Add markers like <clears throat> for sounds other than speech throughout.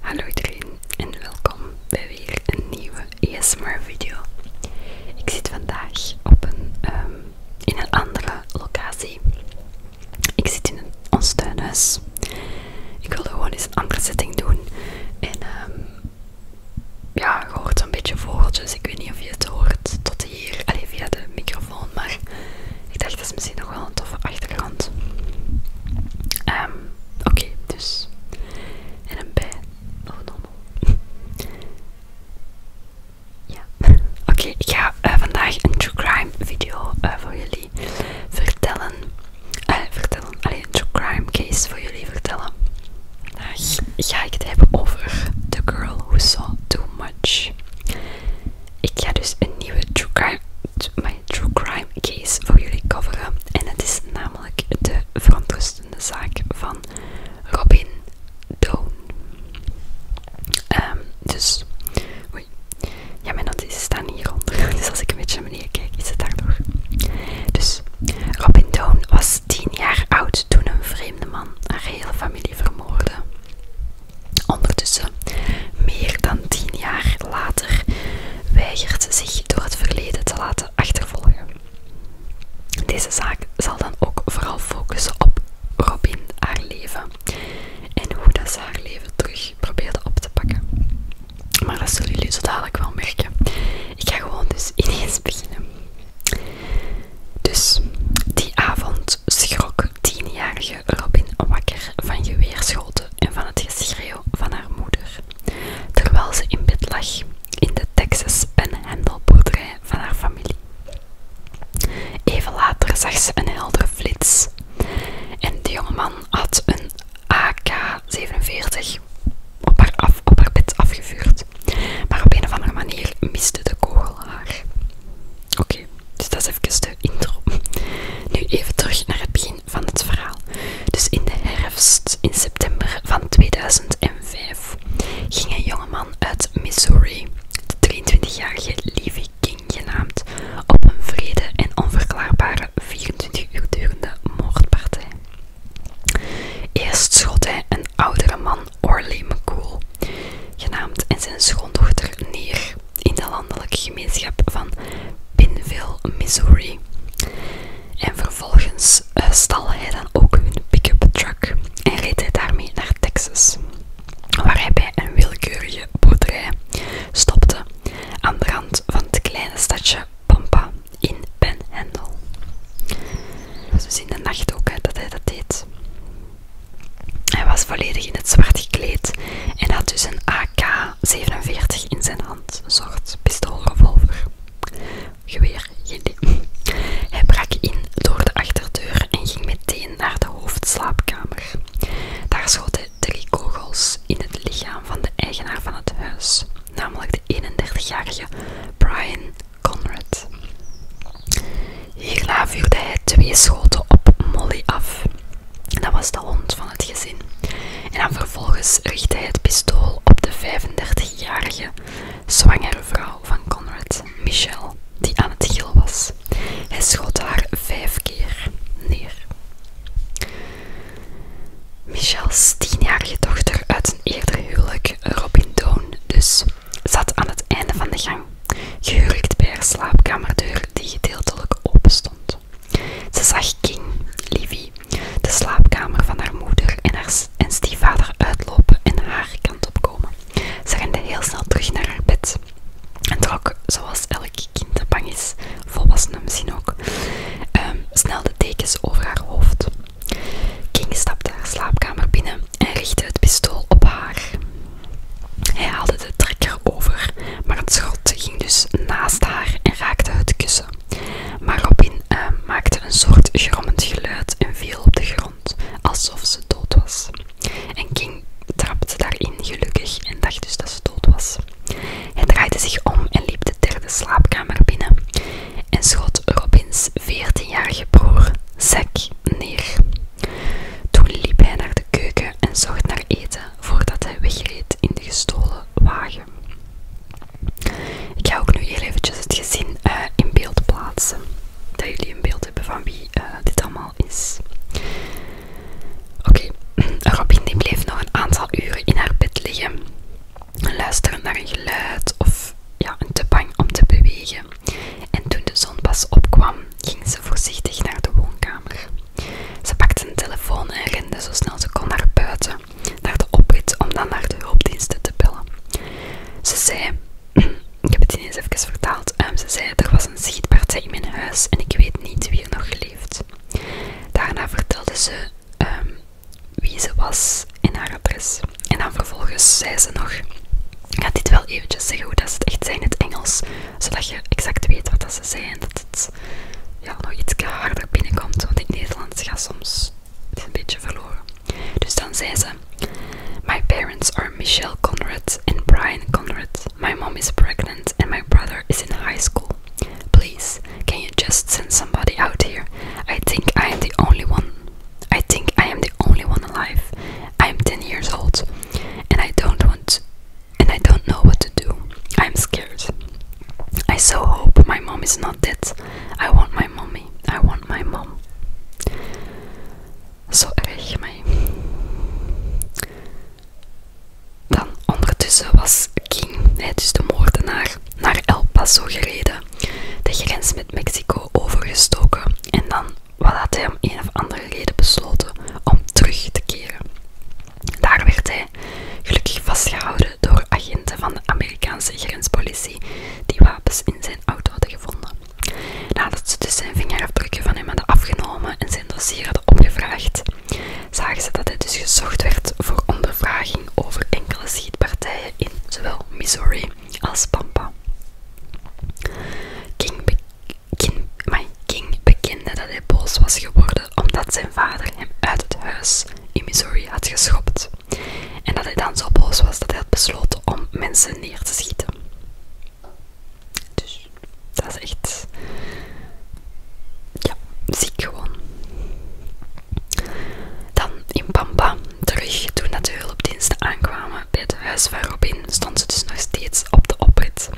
Hallo iedereen en welkom bij weer een nieuwe ASMR video. Ik zit vandaag op een, ehm, in een andere locatie. Ik zit in ons tuinhuis. Ik wilde gewoon eens een andere setting doen. En ehm ja, je hoort zo'n beetje vogeltjes. Ik weet niet of je het hoort tot hier. alleen via de microfoon. Maar ik dacht, dat is misschien nog wel een toffe achtergrond. Ehm Oké, dus. En een bij. Oh, <laughs> Ja. <laughs> Oké, ik ga eh, vandaag een true crime video eh, voor jullie vertellen eh, vertellen. Alleen true crime case voor jullie vertellen. ga ik het hebben over The Girl Who Saw Too Much. Ik ga dus een nieuwe true crime, my true crime case voor jullie coveren. En het is namelijk de verontrustende zaak van Robin Doan. Ehm, dus ja, mijn notities staan hieronder. <laughs> Dus als ik een beetje naar beneden kijk, is het daardoor. Dus, Robin Down was 10 jaar oud toen een vreemde man haar hele familie vermoordde. Ondertussen, meer dan 10 jaar later, weigert zich door het verleden te laten achtervolgen. Deze zaak zal dan ook vooral focussen op Robin, haar leven en hoe dat ze haar leven terug probeerde op te pakken. Maar dat zullen jullie zo dadelijk wel merken. Ik ga gewoon dus <laughs> ineens beginnen. Dus die avond schrok tienjarige Robin wakker van geweerschoten en van het geschreeuw van haar moeder. Terwijl ze in bed lag in de Texas Panhandle boerderij van haar familie. Even later zag ze een heldere flits en de jongeman had een AK-47 op haar, bed afgevuurd. Maar op een of andere manier miste de kogel haar. Oké, dus dat is even de intro. Nu even terug naar het begin van het verhaal. Dus in de herfst, in september van 2005, ging een jongeman uit Missouri, de 23-jarige Levi. King genaamd op een vrede en onverklaarbare 24 uur durende moordpartij. Eerst schot hij een oudere man, Orley McCool, genaamd en zijn schoondochter neer in de landelijke gemeenschap van Pinville, Missouri. En vervolgens eh, stal hij dan ook hun pick-up truck en reed hij daarmee naar Texas, waar hij bij een willekeurige boerderij stopte aan de rand van het kleine stadje Pampa in Ben Het was dus in de nacht ook dat hij dat deed. Hij was volledig in het zwart gekleed en had dus een AK-47 in zijn hand, een soort pistoolrevolver. Geweer, geen idee. Hij brak in door de achterdeur en ging meteen naar de hoofdslaapkamer. Daar schoten drie kogels in het lichaam van de eigenaar van het huis, namelijk de 31-jarige Brian Conrad. Hierna vuurde hij twee schoten op Molly af. Dat was de hond van het gezin. En vervolgens richtte hij het pistool op de 35-jarige zwangere vrouw van Conrad, Michelle, die aan het giel was. Hij schot haar vijf keer neer. Michels tienjarige dochter uit een eerder huwelijk, Robin Doon dus, zat aan het einde van de gang, gehuurd bij haar slaapkamerdeur die gedeeltelijk open stond. Ze zag King, Livy, de slaapkamer van haar moeder en, haar, en stiefvader uitlopen en haar kant op komen. Ze rende heel snel terug naar haar bed en trok, zoals elk ik kind bang is, volwassenen misschien ook, ehm, snel de dekens over haar hoofd. King stapte haar slaapkamer binnen en richtte het pistool op haar. Hij haalde de trekker over, maar het schot ging dus naast haar en raakte het kussen. Maar Robin ehm, maakte een soort grommend geluid en viel op de grond, alsof ze dood was. En King trapte daarin gelukkig en dacht dus dat ze dood was. Hij draaide zich om en liep de derde slaapkamer binnen en schot Robins 14-jarige broer Zack neer. Toen liep hij naar de keuken en zocht naar eten voordat hij wegreed in de gestolen wagen. Ik ga ook nu heel eventjes het gezin eh, in beeld plaatsen, dat jullie een beeld hebben van wie eh, dit allemaal is. Oké, <clears throat> Robin bleef nog een aantal uren in haar bed liggen, luisteren naar een geluid of ja, een te bang om te bewegen. En toen de zon pas opkwam, ging ze voorzichtig naar de woonkamer. Ze pakte een telefoon en rende zo snel ze kon naar buiten, naar de oprit om dan naar de hulpdiensten te bellen. Ze zei, <clears throat> ik heb het eens even vertaald, ehm, ze zei er was een schietpartij in mijn huis en ik weet niet nog geleefd. Daarna vertelde ze ehm, wie ze was in haar adres. En dan vervolgens zei ze nog: Ik ga dit wel eventjes zeggen hoe dat ze het echt zijn in het Engels, zodat je exact weet wat ze zijn, en dat het ja, nog iets harder binnenkomt. Want in het Nederlands gaat soms een beetje verloren. Dus dan zei ze: My parents are Michelle Conrad en Brian Conrad. My mom is pregnant and my brother is in high school. Please, can you just send somebody out here? I think I am the only one. I think I am the only one alive. I am 10 years old and I don't want and I don't know what to do. I am scared. I so hope my mom is not dead. I want my mommy. I want my mom. So, Zo erg mij. Dan ondertussen was King, dus de moordenaar, naar El Paso gereden, de grens met Mexico overgestoken en dan wat had hij om een of andere reden besloten om terug te keren. Daar werd hij gelukkig vastgehouden door agenten van de Amerikaanse grenspolitie die wapens in zijn auto hadden gevonden. Nadat ze dus zijn vingerafdrukken van hem hadden afgenomen en zijn dossier hadden opgevraagd, zagen ze dat hij dus gezocht werd voor ondervraging over enkele schietpartijen in zowel Missouri als Pampa. King, King bekende dat hij boos was geworden omdat zijn vader hem uit het huis in Missouri had geschopt en dat hij dan zo boos was dat hij had besloten om mensen neer te schieten. Dus dat is echt. Ja, ziek gewoon. Dan in Pampa terug, toen dat de hulpdiensten aankwamen bij het huis van Robin, stond ze dus nog steeds op de oprit.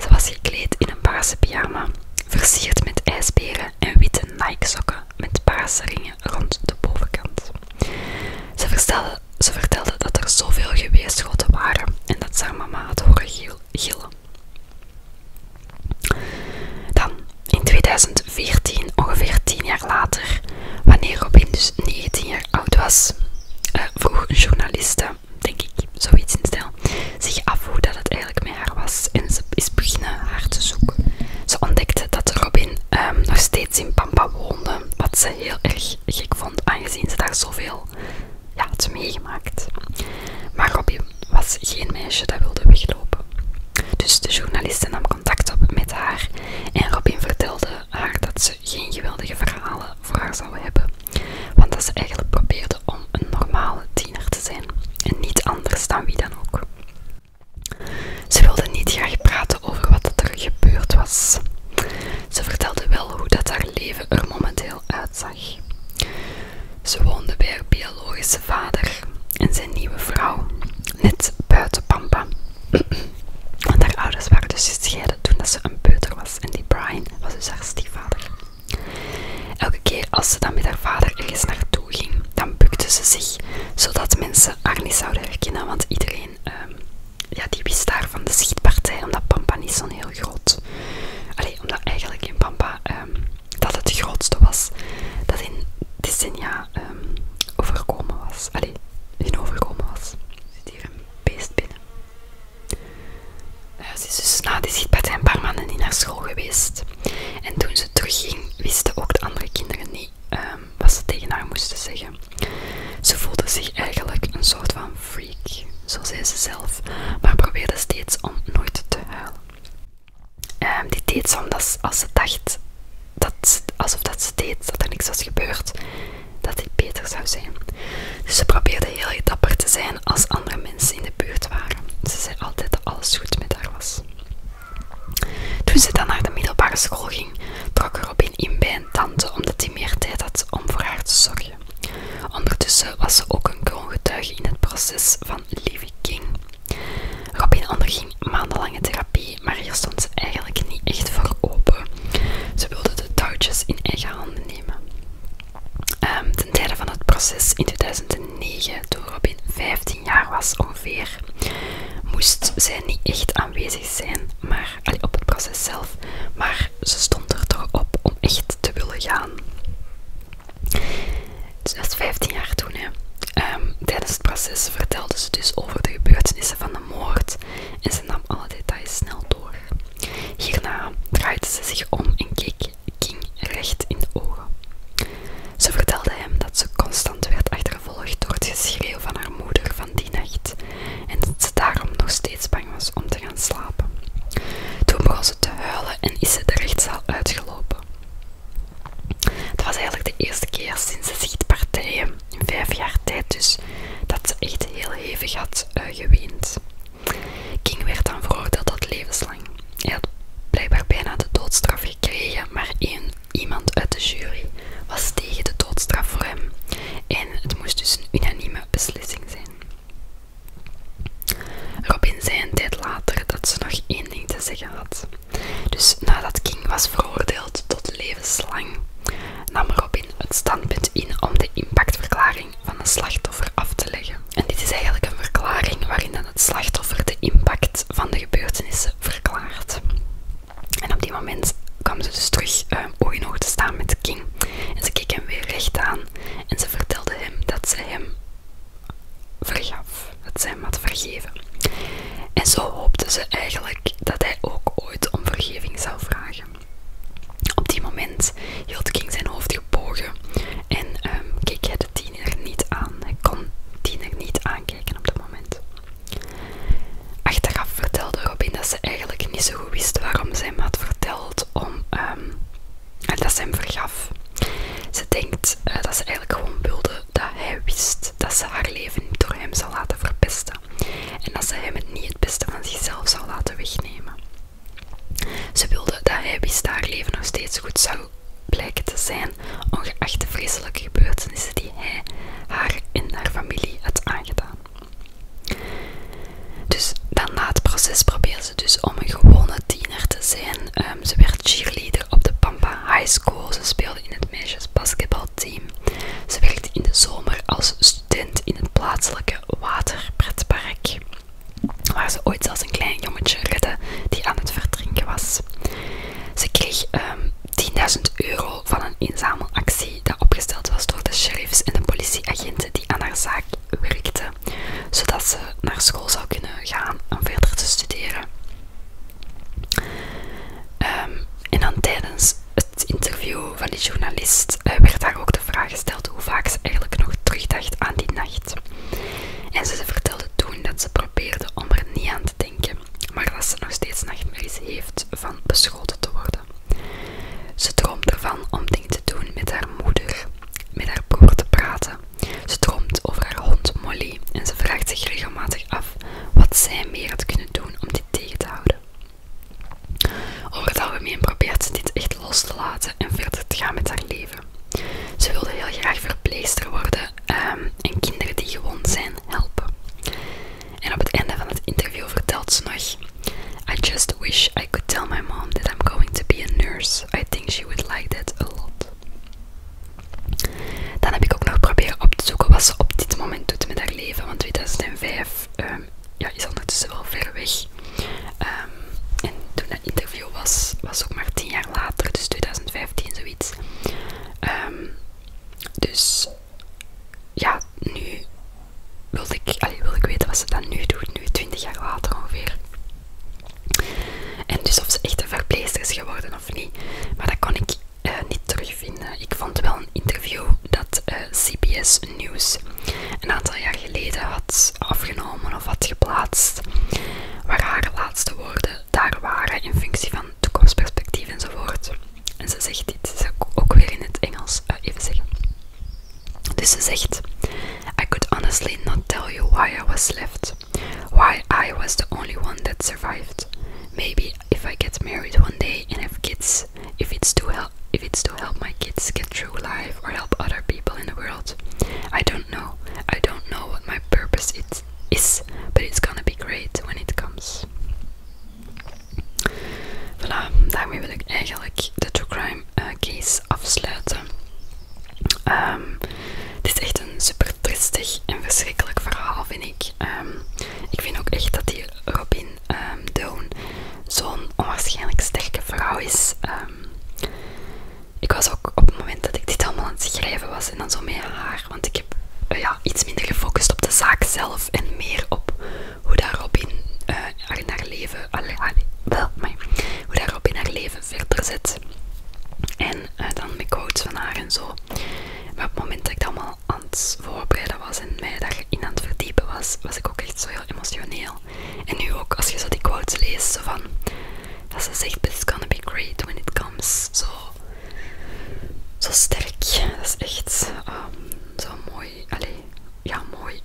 Ze was gekleed in een paarse pyjama, versierd met ijsberen en witte Nike-sokken met paarse ringen rond de bovenkant. Ze verstelde ze vertelde dat er zoveel geweest waren en dat ze haar mama had horen gillen. Dan, in 2014, ongeveer 10 jaar later, wanneer Robin dus 19 jaar oud was, eh, vroeg een journaliste, denk ik, zoiets in stijl, zich af hoe dat het eigenlijk met haar was en ze is beginnen haar te zoeken. Ze ontdekte dat Robin ehm, nog steeds in Pampa woonde, wat ze heel erg gek vond, aangezien ze daar zoveel ja, het meegemaakt. Maar Robin was geen meisje dat wilde weglopen. Dus de journalisten nam contact op met haar en Robin vertelde haar dat ze geen geweldige verhalen voor haar zou hebben, want dat ze eigenlijk probeerde om een normale tiener te zijn en niet anders dan wie dan ook. Ze wilde niet graag praten over wat er gebeurd was. Ze vertelde wel hoe dat haar leven er momenteel uitzag. Ze woonde bij haar biologische vader en zijn nieuwe vrouw, net buiten Pampa. <clears throat> Want haar ouders waren dus gescheiden toen ze een peuter was en die Brian was dus haar stiefvader. Elke keer als ze dan met haar vader ergens naartoe ging, dan bukte ze zich, zodat mensen haar niet zouden herkennen, want iedereen ehm, ja, die wist daar van de schietpartij, omdat Pampa niet zo'n heel groot... Allee, omdat eigenlijk in Pampa ehm, dat het grootste was dat in decennia ehm, overkomen was. Allee, in overkomen was. Er zit hier een beest binnen. Eh, ze is dus na die schietpartij een paar maanden niet naar school geweest. En toen ze terugging, wisten ook de andere kinderen niet ehm, wat ze tegen haar moesten zeggen. Ze voelde zich eigenlijk een soort van freak, zo zei ze zelf, maar probeerde steeds om nooit te huilen. Ehm, die dit deed ze omdat als ze dacht, dat, alsof dat ze deed dat er niks was gebeurd, dat dit beter zou zijn. Dus ze probeerde heel dapper te zijn als andere mensen in de buurt waren. Ze zei altijd dat alles goed met haar was. Toen ze dan naar de middelbare school ging, trok er op in bij een tante omdat hij meer tijd had om voor haar te zorgen. Ondertussen was ze ook een kroongetuige in het proces van Living King. Robin onderging maandenlange therapie, maar hier stond ze eigenlijk niet echt voor open. Ze wilde de touwtjes in eigen handen nemen. Ehm, ten tijde van het proces in 2009, toen Robin 15 jaar was ongeveer, moest zij niet echt aanwezig zijn maar, op het proces zelf, maar ze stond er toch op om echt te willen gaan. Ze was is 15 jaar toen. Ehm, tijdens het proces vertelde ze dus over de gebeurtenissen van de moord en ze nam alle details snel door. Hierna draaide ze zich om en keek King recht in de ogen. Ze vertelde hem dat ze constant werd achtervolgd door het geschreeuw van haar moeder van die nacht en dat ze daarom nog steeds bang was om te gaan slapen. Toen begon ze te huilen en is ze de rechtszaal uitgelopen. Het was eigenlijk de eerste keer sinds de zichtpartijen in vijf jaar tijd dus, dat ze echt heel hevig had uh, geweend. King werd dan veroordeeld tot levenslang. Hij had blijkbaar bijna de doodstraf gekregen, maar iemand uit de jury was tegen de doodstraf voor hem. En het moest dus een unaniem beslissing zijn. Robin zei een tijd later dat ze nog één ding te zeggen had. Dus nadat King was veroordeeld tot levenslang, nam Robin het standpunt in om de impactverklaring van een slachtoffer af te leggen. En dit is eigenlijk een verklaring waarin dan het slachtoffer de impact van de gebeurtenissen verklaart. En op die moment kwam ze dus terug ehm, ooit ooit in te staan met King. En ze keek hem weer recht aan en ze vertelde hem dat ze hem vergaf, dat ze hem had vergeven. En zo hoopte ze eigenlijk dat hij ook ooit om vergeving zou vragen. Op die moment hield King zijn hoofd gebogen en ehm, keek hij de tiener niet aan. Hij kon tiener niet aankijken op dat moment. Achteraf vertelde Robin dat ze eigenlijk niet zo goed wist waarom ze hem had verteld om, ehm, dat ze hem vergaf. Ze denkt eh, dat ze eigenlijk gewoon wilde dat hij wist dat ze haar leven niet door hem zou laten verpesten. En dat ze hem niet het beste van zichzelf zou laten wegnemen. Ze wilde dat hij wist dat haar leven nog steeds goed zou blijken te zijn, ongeacht de vreselijke gebeurtenissen die hij, haar en haar familie had aangedaan. Dus dan na het proces probeerde ze dus om een gewone tiener te zijn. Ehm, ze werd cheerleader op de Pampa High School. Ze speelde in het meisjesbasketbalteam. Ze werkte in de zomer als student in het plaatselijke waterpretpark. Waar ze ooit zelfs een klein jongetje redde die aan het verdrinken was. Ze kreeg 10.000 ehm, euro van een inzamelactie dat opgesteld was door de sheriffs en de politieagenten die aan haar zaak werkten, zodat ze naar school zou kunnen gaan om verder te studeren. Ehm, en dan tijdens het interview van die journalist eh, werd haar ook de vraag gesteld hoe vaak ze eigenlijk nog terugdacht aan die nacht. En ze vertelde toen dat ze probeerde om er niet aan te denken, maar dat ze nog steeds nachtmerries heeft van beschoten te worden. Ze droomt ervan om dingen te doen met haar moeder, met haar broer te praten. Ze droomt over haar hond Molly en ze vraagt zich regelmatig af wat zij meer had kunnen doen om dit tegen te houden. Over het algemeen probeert ze dit echt los te laten en verder te gaan met haar leven. Ze wilde heel graag verpleegster worden ehm, en kinderen die gewond zijn helpen. En op het einde van het interview vertelt ze nog: I just wish I could tell my mom that I'm going to be a nurse. I think she would like that a lot. Dan heb ik ook nog geprobeerd op te zoeken wat ze op dit moment doet met haar leven. Want 2005 is ehm, ja, is ondertussen wel ver weg. Ehm, en toen dat interview was, was ook maar 10 jaar later, dus 2015 zoiets. Ehm, dus ja, nu wilde ik, allee, wil ik weten wat ze dan nu doet, nu 20 jaar later ongeveer. En dus of ze echt een verpleegster is geworden of niet. Maar dat kon ik eh, niet terugvinden. Ik vond wel een interview dat eh, CBS News een aantal jaar geleden had afgenomen of had geplaatst. Waar haar laatste woorden daar waren in functie van toekomstperspectief enzovoort. En ze zegt dit, ze ook weer in het Engels eh, even zeggen. Dus ze zegt: I could honestly not tell you why I was left. Why I was the only one that survived. Maybe if I get married one day and have kids, if it's to help if it's to help my kids get through life or help other people in the world. I don't know. I don't know what my purpose it is, but it's gonna be great when it comes. Voilà, daarmee wil ik eigenlijk de True Crime eh, case afsluiten. Ehm, het is echt een super tristig en verschrikkelijk verhaal, vind ik. Ehm, ik vind ook echt dat die Robin um, Doan zo'n onwaarschijnlijk sterke vrouw is. ik was ook op het moment dat ik dit allemaal aan het schrijven was en dan zo met haar, want ik heb eh, ja, iets minder gefocust op de zaak zelf en meer op hoe dat Robin in eh, haar leven, allee, allee, wel, hoe dat Robin haar leven verder zit En eh, dan met quotes van haar en zo. Maar op het moment dat ik dat allemaal aan het voorbereiden was en mij daarin aan het verdiepen was, was ik ook echt zo heel emotioneel. En nu ook, als je zo die quotes leest, van, dat ze zegt, but it's gonna be great when it comes, zo zo sterk. Dat is echt ehm, zo mooi. Allee, ja, mooi.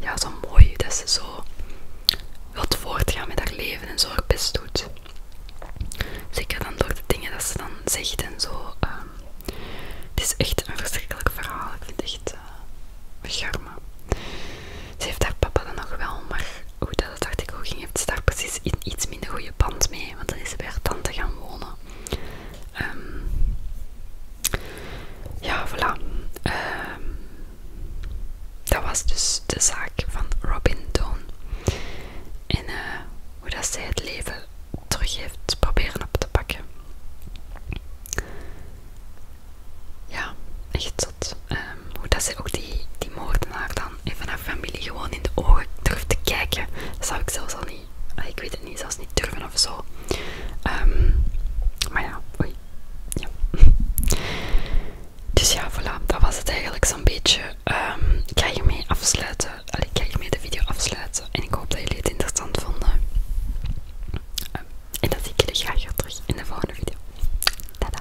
Ja, zo mooi dat ze zo wil voortgaan met haar leven en zo haar best doet. Zeker dan door de dingen dat ze dan zegt en zo. Ehm, het is echt een verschrikkelijk verhaal. Ik vind het echt uh, charme. Ze heeft haar papa dan nog wel, maar hoe dat het artikel ging, heeft ze daar precies in iets minder goede band mee. Want dan is ze bij haar tante gaan wonen. Ehm, ja, voilà. Ehm, dat was dus de zaak van Robin Doan. En eh, hoe dat zij het leven terug heeft proberen op te pakken. Ja, echt zot. Ehm, hoe dat zij ook die, die moordenaar dan even haar familie gewoon in de ogen durft te kijken. zou ik zelfs al niet ik weet het niet, zelfs niet durven of zo. Ehm, maar ja, oei. Dus ja, voilà. Dat was het eigenlijk zo'n beetje. Ehm, ik ga hiermee afsluiten. ik ga hiermee de video afsluiten. En ik hoop dat jullie het interessant vonden. Ehm, en dan zie ik jullie graag weer terug in de volgende video. Tada!